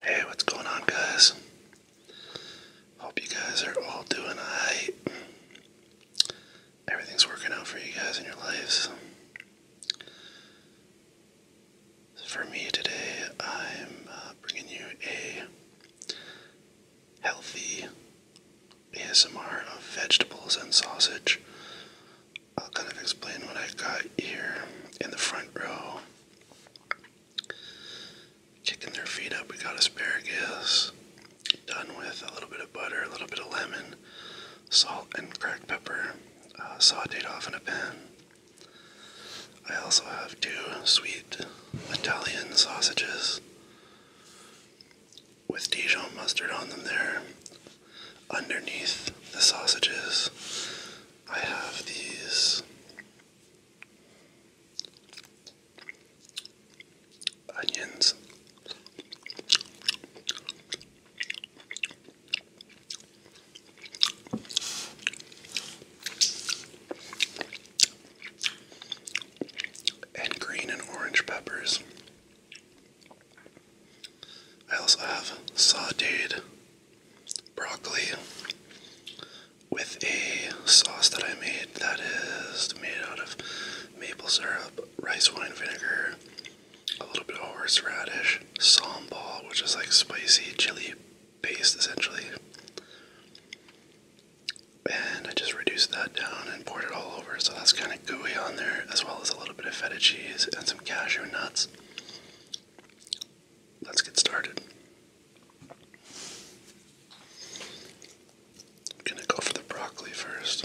Hey, what's going on, guys? Hope you guys are all doing alright. Everything's working out for you guys in your lives. For me today, I'm uh, bringing you a healthy ASMR of vegetables and sausage. I'll kind of explain what I got here in the front row. Kicking their feet up, we got asparagus. Done with a little bit of butter, a little bit of lemon, salt, and cracked pepper. Uh, sauteed off in a pan. I also have two sweet Italian sausages with Dijon mustard on them there. Underneath the sausages, I have these onions. And green and orange peppers. I also have sauteed broccoli with a sauce that I made that is made out of maple syrup, rice wine vinegar, a little bit of horseradish, sambal, which is like spicy chili paste essentially. And I just reduced that down and poured it all over, so that's kind of gooey on there, as well as a little bit of feta cheese and some cashew nuts. Let's get started. I'm gonna go for the broccoli first.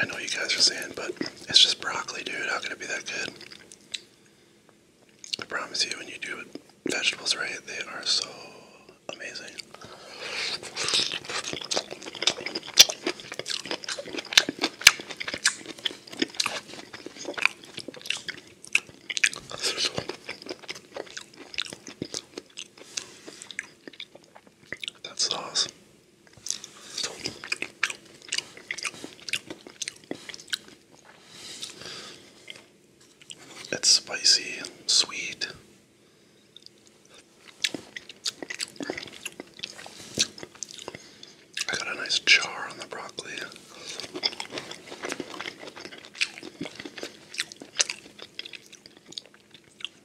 I know you guys are saying, but it's just broccoli, dude. How could it be that good? I promise you, when you do vegetables right, they are so amazing. That sauce. It's spicy, and sweet. I got a nice char on the broccoli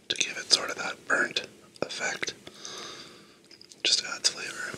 to give it sort of that burnt effect. Just adds flavor.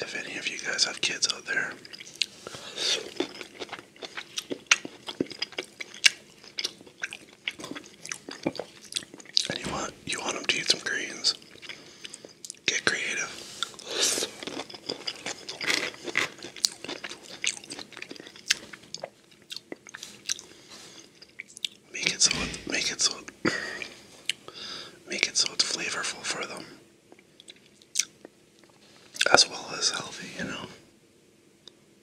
if any of you guys have kids out there, and you want you want them to eat some greens, get creative. Make it so, make it so, make it so it's flavorful for them as well as healthy, you know.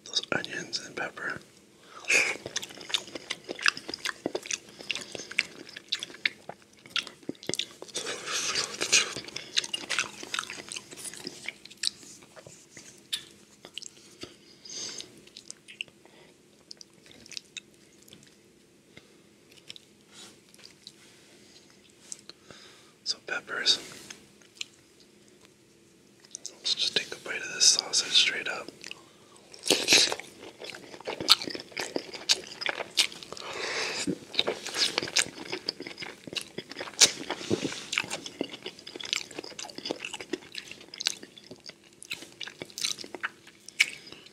Those onions and pepper. Some peppers. Let's just take a bite of this sausage straight up.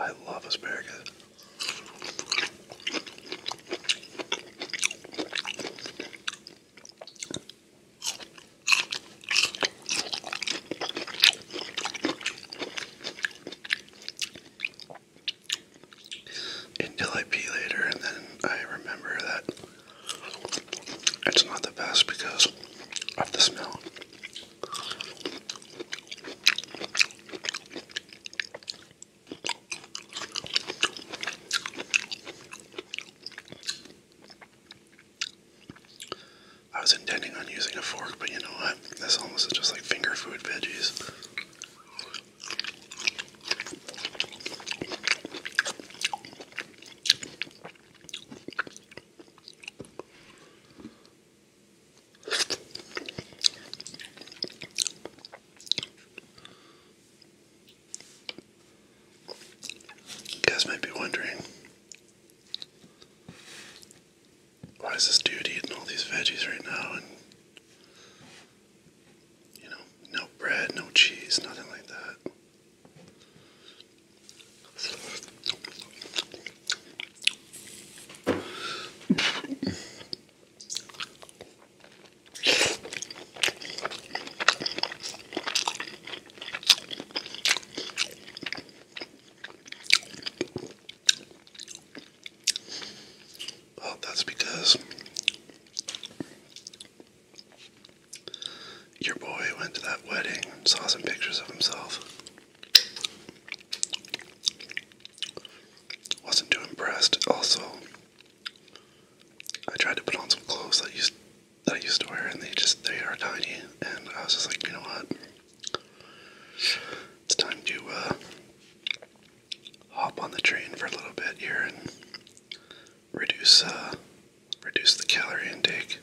I love asparagus until I pee later, and then I remember that it's not the best because of the smell. I was intending on using a fork, but you know what? This almost is just like finger food veggies. You guys might be wondering why is this dude eating all these veggies right now you know, no bread, no cheese, nothing like that. Well, that's because your boy went to that wedding and saw some pictures of himself. Wasn't too impressed. Also, I tried to put on some clothes that I used that I used to wear, and they just they are tiny. And I was just like, you know what? It's time to uh, hop on the train for a little bit here and reduce uh, reduce the calorie intake.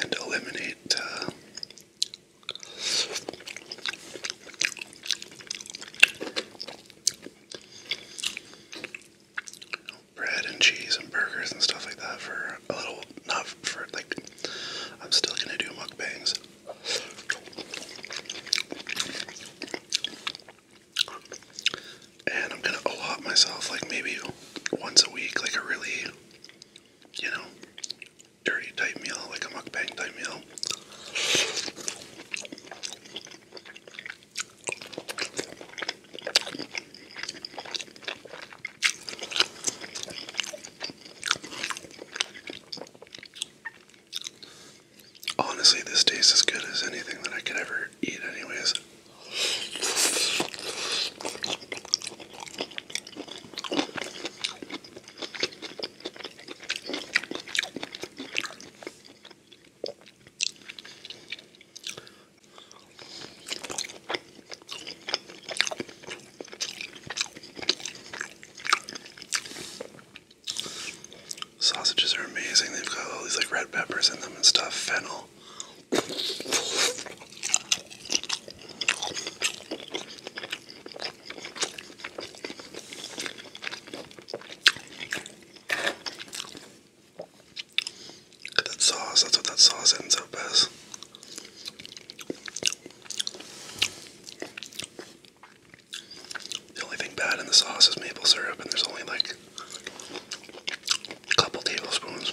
And eliminate uh, bread and cheese and burgers and stuff like that for a little, not for like, I'm still gonna do mukbangs. And I'm gonna allot myself like maybe once a week, like a really, you know, dirty type meal, like a mukbang type meal. Honestly, this tastes as good as anything that I could ever eat, anyways. Sausages are amazing. They've got all these like red peppers in them and stuff, fennel. That sauce, that's what that sauce ends up as. The only thing bad in the sauce is maple syrup, and there's only like a couple tablespoons.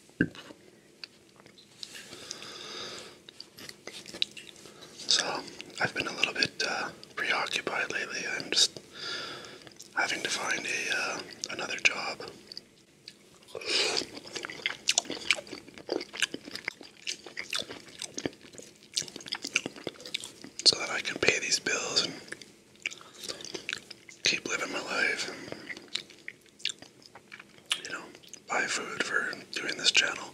So, I've been a little bit uh, preoccupied lately. I'm just having to find a uh, another job. So that I can pay these bills and keep living my life you know, buy food for doing this channel.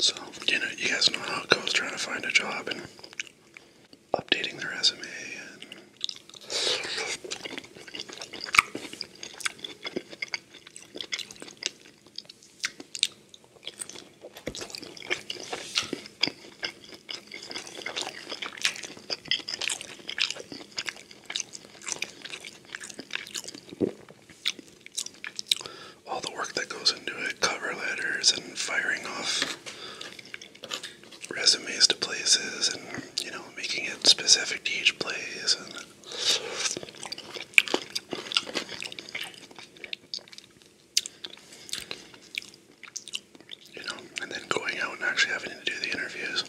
So, you know, you guys know how it goes trying to find a job and updating their resume and all the work that goes into it, cover letters and firing off resumes to places and, you know, making it specific to each place you know, and then going out and actually having to do the interviews.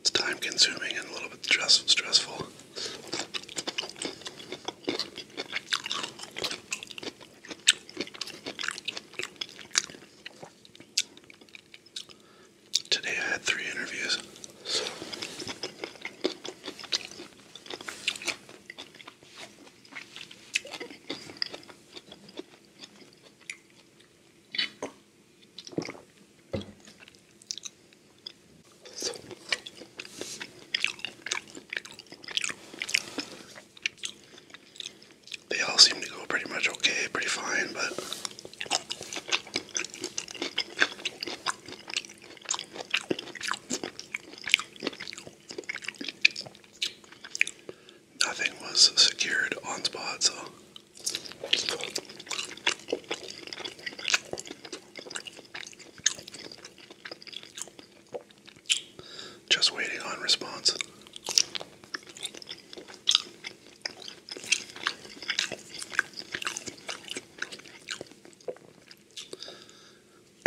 It's time consuming and a little bit stressful. Today I had three interviews. They all seem to go pretty much okay, pretty fine, but Nothing was secured on spot, so. Just waiting on response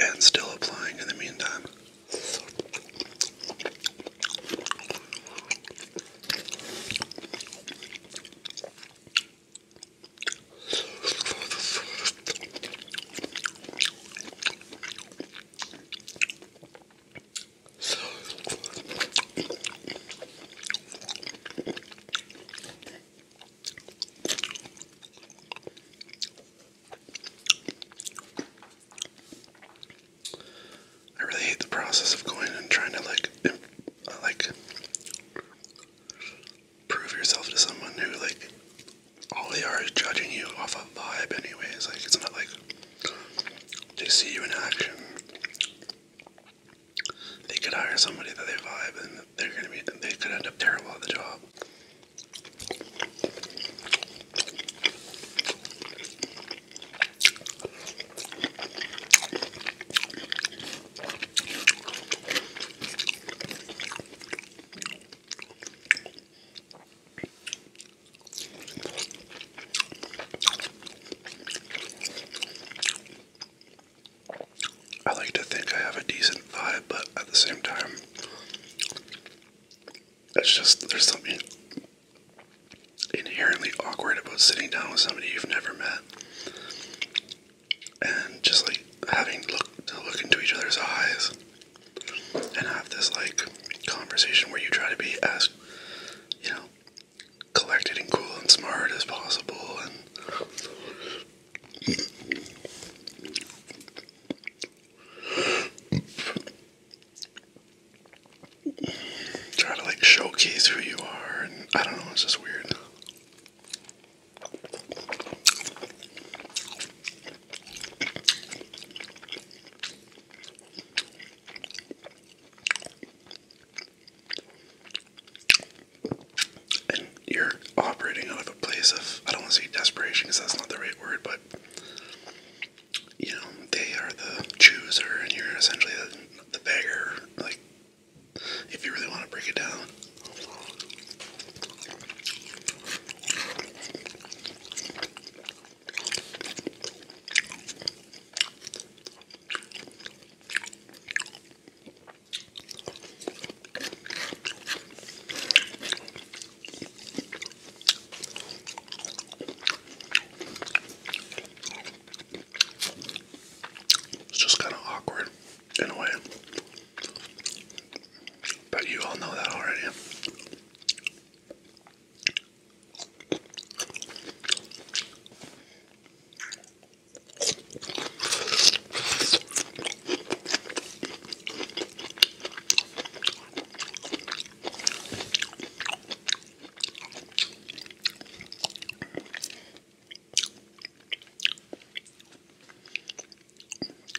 and still applying in the meantime. I really hate the process of going and trying to like, uh, like, prove yourself to someone who like all they are is judging you off a vibe. Anyways, like it's not like they see you in action. They could hire somebody that they vibe, and they're gonna be. They could end up terrible at the job. I like to think I have a decent vibe, but at the same time, that's just, there's something inherently awkward about sitting down with somebody you've never met and just like having look, to look into each other's eyes and have this like conversation where you try to be as, you know, collected and cool and smart as possible and Try to like showcase who you are, and I don't know, it's just weird you're operating out of a place of I don't want to say desperation because that's not the right word, but you know they are the chooser and you're essentially the, the beggar. Like if you really want to break it down. It's just kind of awkward in a way. But you all know that already.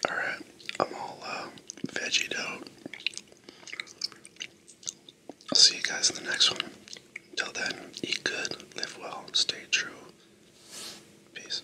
All right, I'm all uh, veggied out. I'll see you guys in the next one. Till then, eat good, live well, stay true. Peace.